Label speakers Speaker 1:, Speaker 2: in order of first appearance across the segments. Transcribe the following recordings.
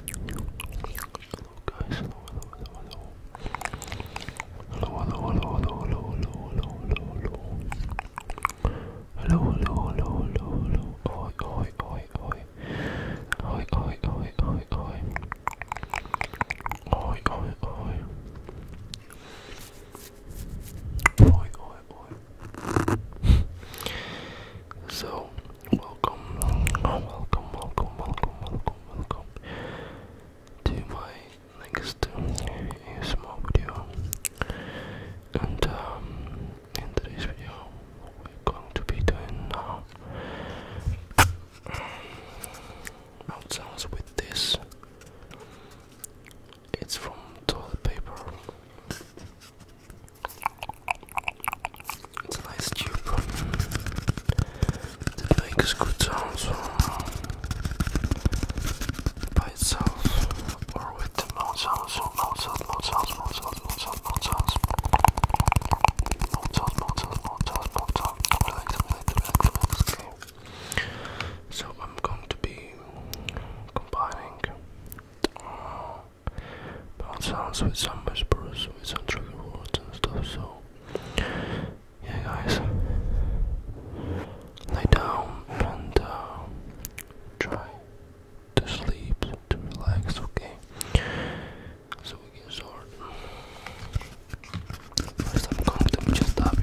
Speaker 1: Hello guys, hello, hello, hello, hello. Hello, hello, hello, hello, hello, hello, hello, hello. Hello, hello, hello, hello, hello. Oi, oi, oi, oi. Oi, oi, oi, oi, oi. Oi, oi, oi. Oi, oi, oi. so, Welcome, welcome, welcome, welcome, welcome, welcome to my next small video. And um, in today's video, we're going to be doing now uh, sounds with this. It's from toilet paper. It's a nice tube. It good sounds by itself or with the mouth sounds, mouth sounds, mouth sounds, mouth sounds, mouth sounds, mouth sounds. Mouth sounds, mouth sounds, mouth sounds, mouth sounds. So I'm going to be combining it sounds with some whispers, with some trigger words and stuff. So, yeah, guys, lay down and uh, try to sleep, to relax, okay? So we can start. First, I'm going to just stop you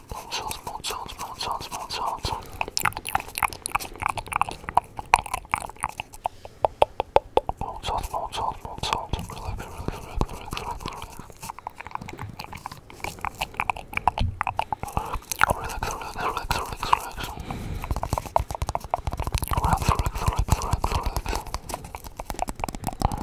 Speaker 1: Mouth sounds, mouth sounds, mouth sounds, mouth sounds. Mouth sounds, mouth sounds, mouth sounds. Relax, relax, relax, relax, relax, relax. Relax, relax, relax, relax, relax. Relax, relax, relax, relax, relax.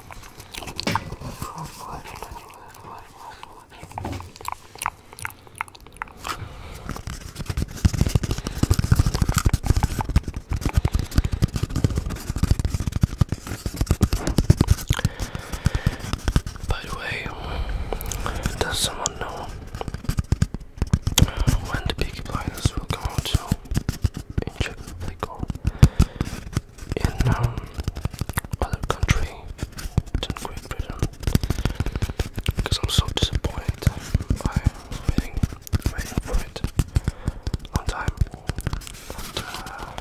Speaker 1: By the way, does someone know when the Peaky Blinders will come out? in um, other country than Great Britain because I'm so disappointed by waiting, waiting it long time uh,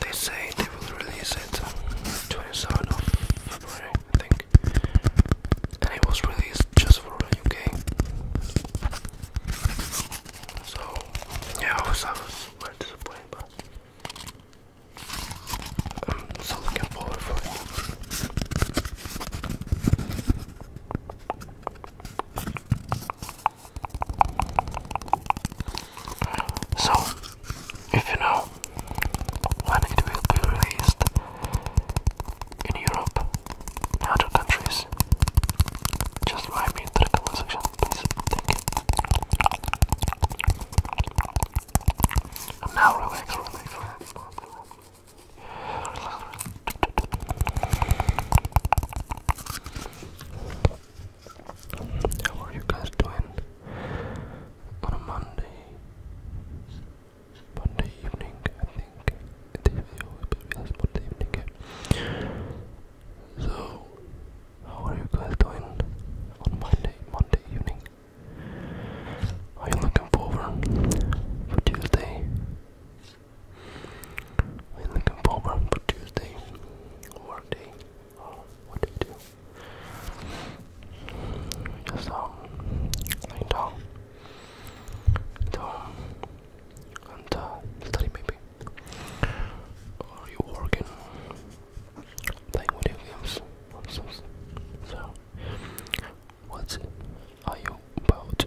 Speaker 1: they say they will release it 27th um, of February I think and it was released just for the UK so, yeah, I was, I was quite disappointed, but I'm still looking forward for it. So, if you know when it will be released, in Europe and countries. Just write me in the comment section, please. Thank you. now relaxed, relaxed, How are you guys doing on a Monday? Monday evening, I think interview will be with us Monday evening. So, how are you guys doing on Monday, Monday evening? Are you looking forward for Tuesday? Are you looking forward for Tuesday? Work day? Oh, what do you do? Just um, lay down and uh, study maybe. Or you working, playing video games, so, so what are you about?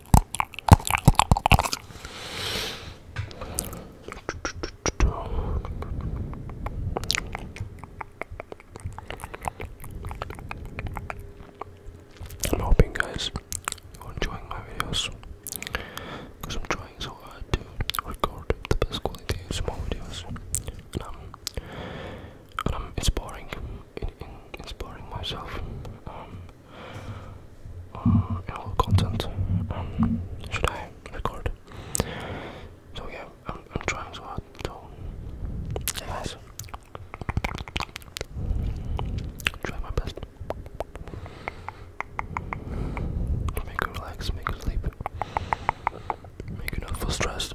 Speaker 1: I'm hoping, guys, are enjoying my videos because I'm trying so hard to record the best quality of small videos, and I'm, and I'm inspiring, inspiring myself. Um, all uh, content um, should I record. So yeah, I'm, trying so hard. So guys, try my best. Make you relax, make you sleep, make you not feel stressed.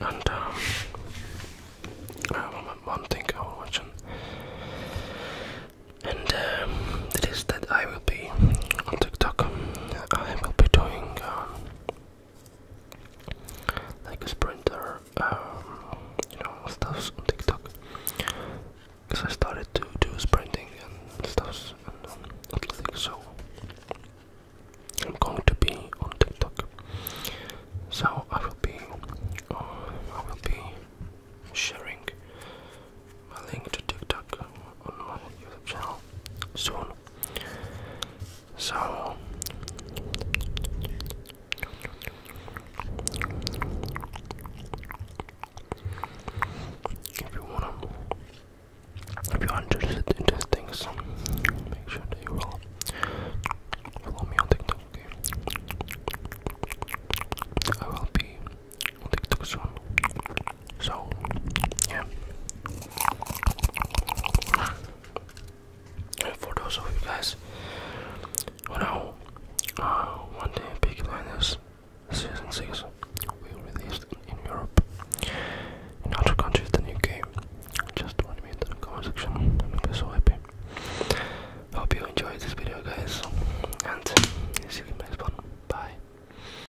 Speaker 1: And um, one thing I will mention, and um, it is that I will be on TikTok. I will be doing um, like a sprinter, um, you know, stuffs on TikTok. Because I started to do sprinting and stuffs and um, athletics, so I'm going to be on TikTok. So I will be, um, I will be sharing my link to TikTok on my YouTube channel soon. So if you wanna if you're interested in these things, make sure that you follow me on TikTok, okay? I will be on TikTok soon. So, yeah. for those of you guys who know, uh, one day Peaky season six will be in Europe, in other countries than UK. Just want to meet in the comment section. I'm so happy. Hope you enjoyed this video, guys, and see you in the next one. Bye.